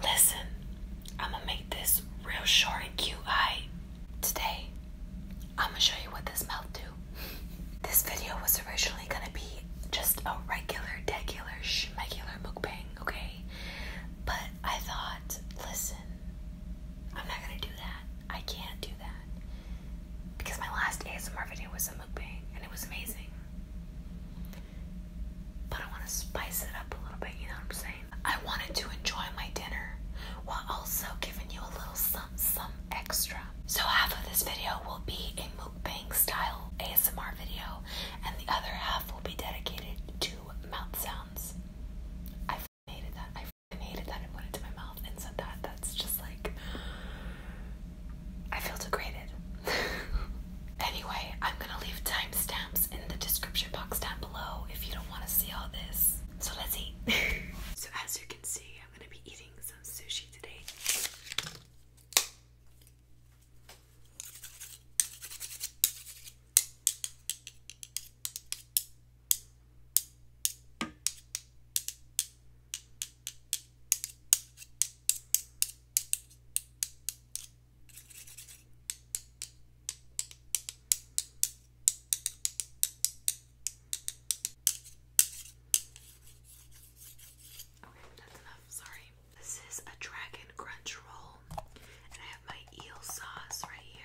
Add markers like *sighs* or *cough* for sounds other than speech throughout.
Listen, I'm gonna make this real short and cute. I today I'm gonna show you what this mouth do. This video was originally gonna be just a regular, regular, regular mukbang, okay? But I thought, listen, I'm not gonna do that. I can't do that. Because my last ASMR video was a mukbang and it was amazing. But I wanna spice it up a little bit, you know what I'm saying? I wanted to enjoy my dinner while also giving you a little some some extra so half of this video will be a mukbang style ASMR video and the other half will be dedicated to mouth sounds. I hated that. I hated that I put it to my mouth and said that. That's just like I feel degraded. *laughs* anyway, I'm gonna leave timestamps in the description box down below if you don't want to see all this. So let's eat. *laughs* so as you can see, I'm gonna be eating some sushi today. Okay, that's enough. Sorry. This is a dragon crunch roll, and I have my eel sauce right here.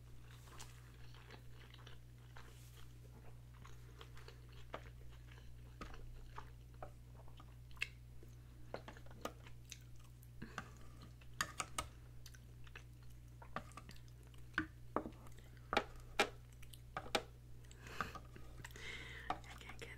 I can't get it.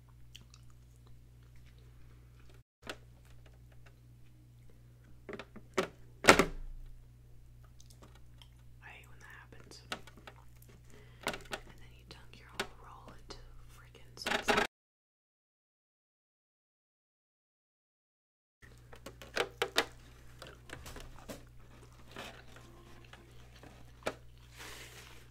I hate when that happens. And then you dunk your whole roll into freaking sauce.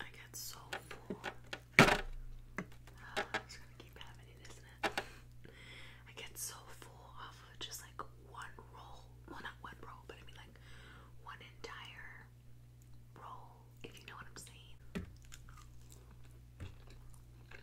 I get so full. Oh, *sighs* gonna keep having it, isn't it? I get so full off of just like one roll. Well, not one roll, but I mean like one entire roll, if you know what I'm saying.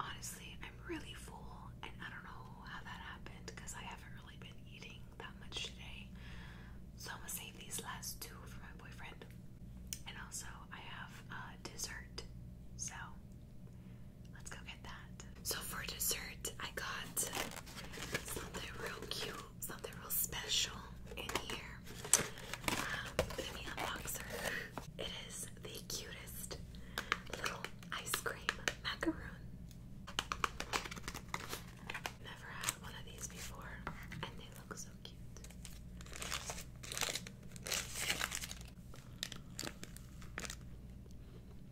Honestly, I'm really full, and I don't know how that happened because I haven't really been eating that much today. So I'm gonna save these last two for my boyfriend. And also, I have a uh, dessert. So let's go get that. So for dessert, I got something real cute, something real special in here. let me unbox It is the cutest little ice cream macaroon. Never had one of these before, and they look so cute.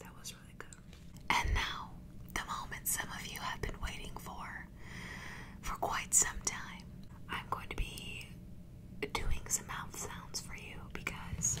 That was really good. And now, the moment some of you have been waiting for for quite some time. I'm going to be doing some mouth sounds for you because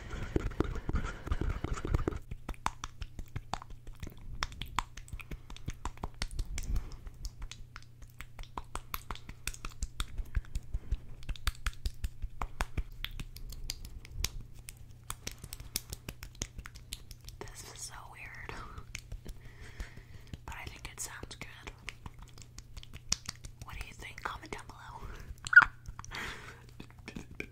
This is so weird, *laughs* but I think it sounds good. What do you think? Comment down below. *laughs*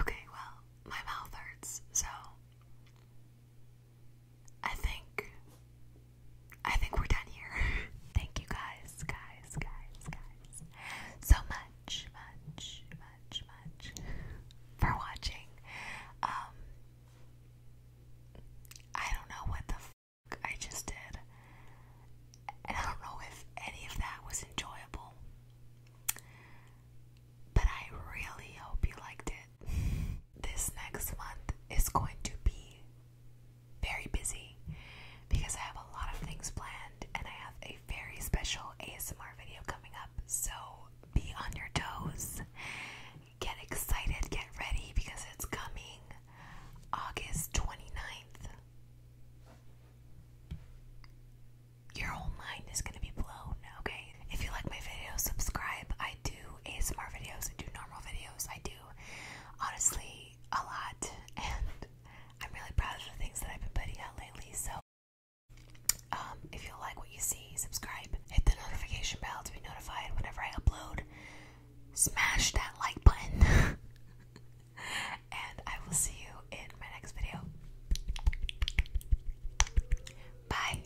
okay, well, my mouth hurts, so I think I think we're done here. *laughs* Thank you guys, guys, guys, guys. So much, much, much, much for watching. Um I don't know what the fuck I just did. I don't know if any of that was enjoyable. But I really hope you liked it. *laughs* this next month is going to be very busy because I have a lot of things planned and I have a very special ASMR video coming up. So be on your toes, get excited, get ready because it's coming August 29th. Your whole mind is going to be blown, okay? If you like my video, subscribe. I do ASMR videos, I do normal videos, I do honestly a lot, *laughs* and I'm really proud of the things that I've been putting out lately. So, um, if you like what you see, subscribe, hit the notification bell to be notified whenever I upload, smash that like button, *laughs* and I will see you in my next video. Bye.